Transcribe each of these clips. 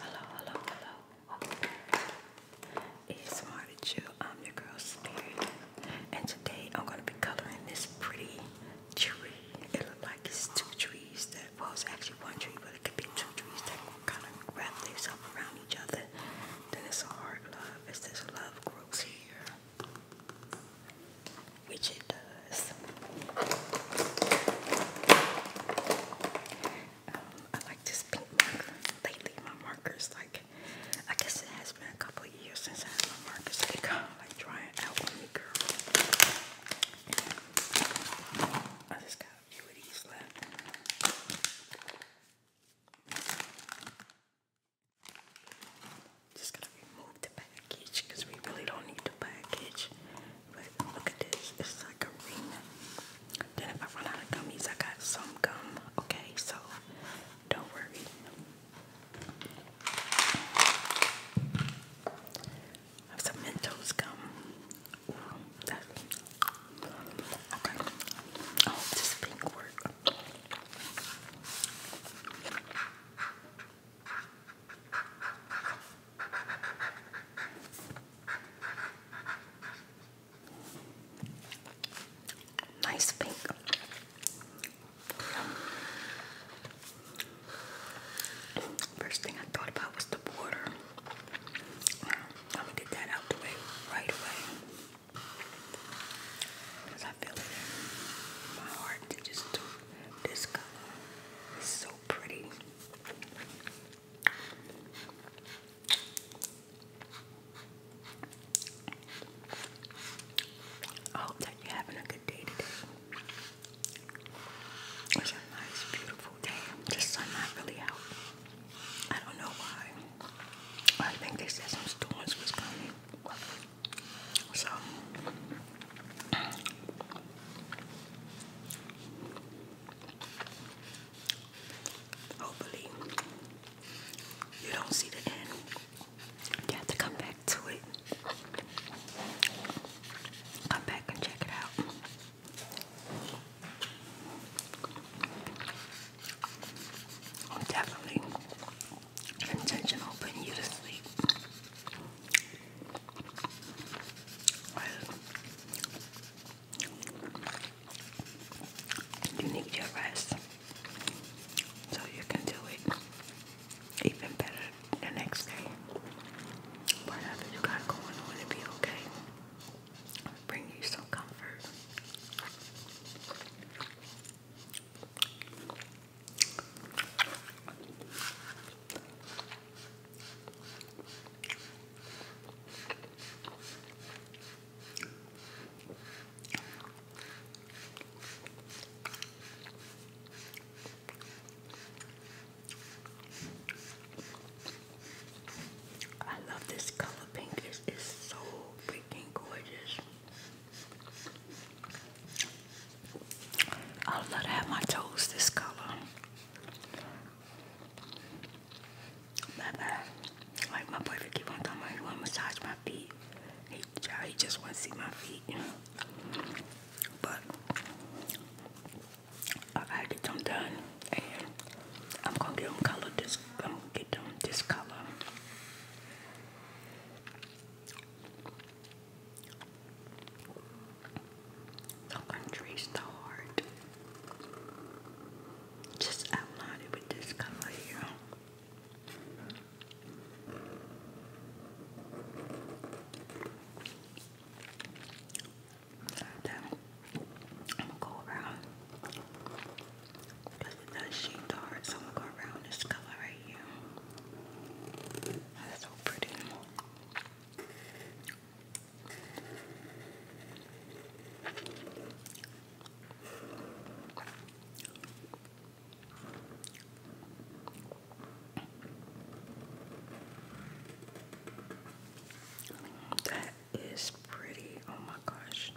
Hello, hello, hello. Welcome It's smart at you. I'm your girl Spirit. And today I'm gonna be coloring this pretty tree. It looks like it's two trees that was actually one tree, but it could be two trees that kind of wrap themselves around each other. Then it's a hard love. It's this love grows here which it does. Um, I like this pink marker. Lately, my markers like I guess it has been a couple of years since I had my markers. They like drying out girl. I just got a few of these left. Just gonna remove the package because we really don't need the package. But look at this, it's like a ring. Then if I run out of gummies, I got some gum. Okay, so don't worry. have some Mentos gum. okay. Oh, this pink work. Nice pink. First thing I thought about was the border. I'm gonna get that out the way right away. Because I feel it in my heart just this color. It's so pretty. I hope you having a good day today. It's a nice, beautiful day. The sun not really out. I don't know why. I think they said some storms was coming. So hopefully you don't see the end. You have to come back to it. Come back and check it out. Definitely intentional putting you to sleep. You need your rest so you can do it even better the next day. Whatever you got going on, it'll be okay. I'll bring you some comfort. I love this color pink. It's, so freaking gorgeous. I love to have my toes this color. Like my boyfriend keep on talking about he want to massage my feet. He, just want to see my feet. But I get them done, and I'm gonna get them colored this. I'm gonna get them this color. The country's the heart. Just outline with this color here. Then I'm gonna go around because it does shade dark, so I'm gonna go around this color right That's so pretty. That is pretty. Oh my gosh.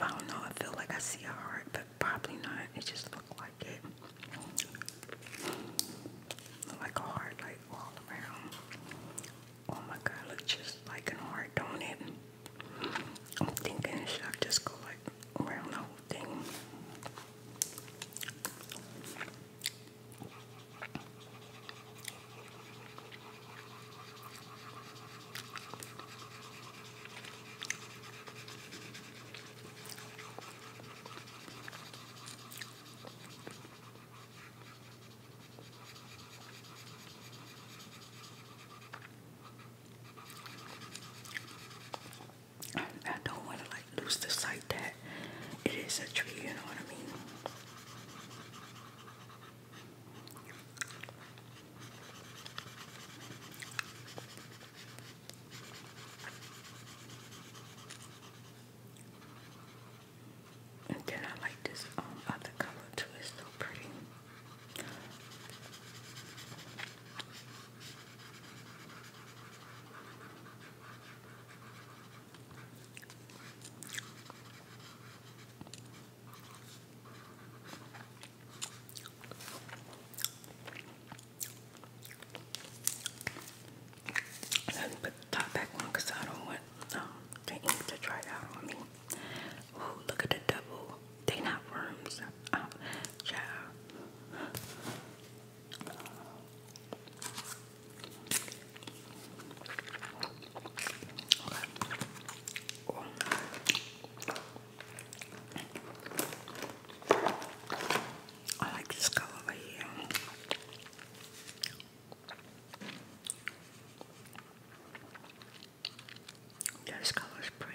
I don't know. I feel like I see a heart, but probably not. It just looks like it. like a heart, like all around. Oh my God, look just like an heart, don't it? I'm thinking, should I just go like around the whole thing? I don't want to like lose the sight that it is a tree, you know what I mean? And then I like this um, other color too, it's so pretty. Let me put the top back on I don't want um, to dry out on me. Oh, look at the double. They not worms. Um, uh, Oh. I like this color right here. This color is pretty.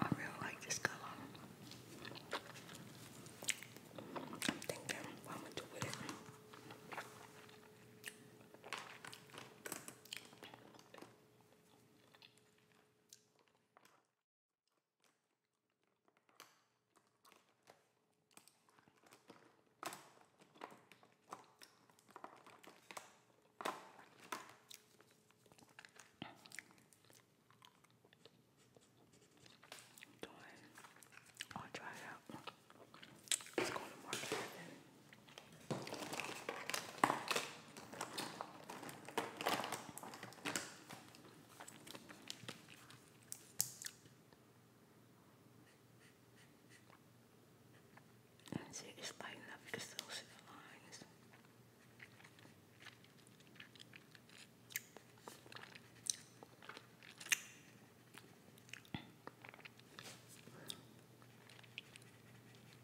I really like this color. I'm thinking what I'm gonna do with it. Doing. I'll try it out. Let's go to market then. And see, it's lighting up. You can still see the lines.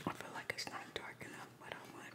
I feel like it's not dark enough, but I want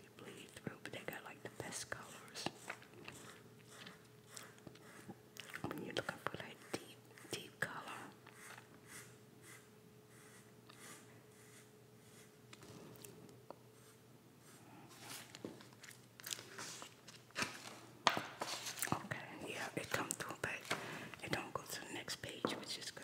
see bleed through, but they got like the best colors. When you're looking for that deep, deep color. Okay, yeah, it come through, but it don't go to the next page, which is good.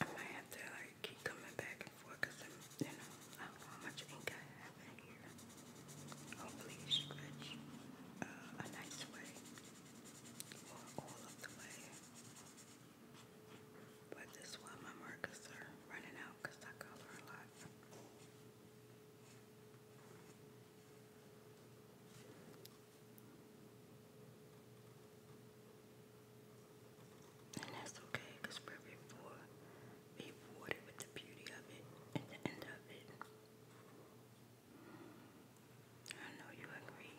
I might have to like keep coming back and forth because you know I don't know how much ink I happening here. Hopefully you stretch uh, a nice way or all of the way. But this one, my markers are running out because I color a lot. And that's okay we're before be rewarded with the beauty of it at the end of it. I know you agree.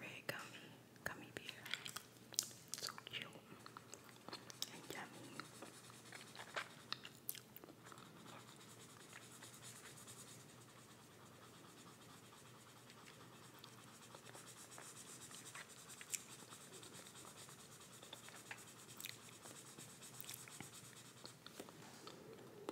Red gummy, gummy beer. So cute and yummy.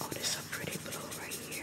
Oh, this is a pretty blue right here.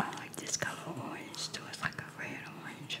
I like this color orange too, it's like a red orange.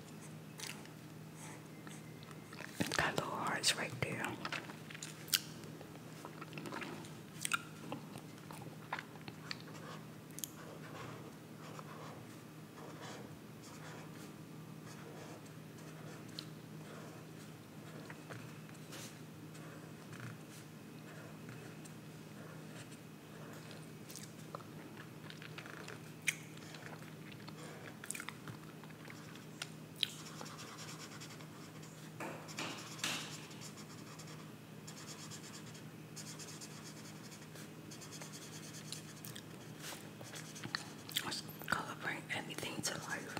it got little hearts right there. Color bring everything to life.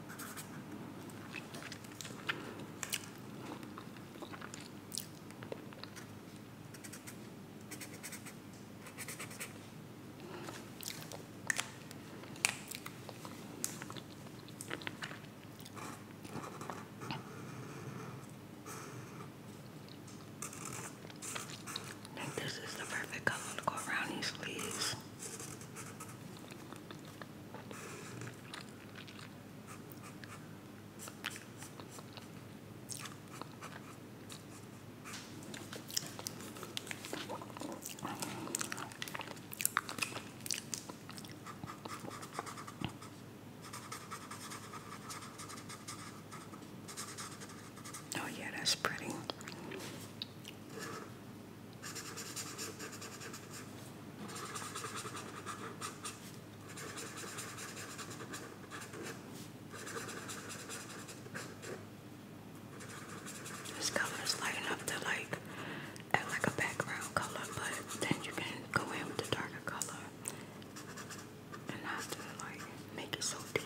I think this is the perfect color to go around these sleeves. Oh, yeah, that's pretty. This color is light enough to like act like a background color, but then you can go in with the darker color and not to like make it so deep.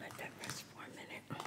Let that rest for a minute.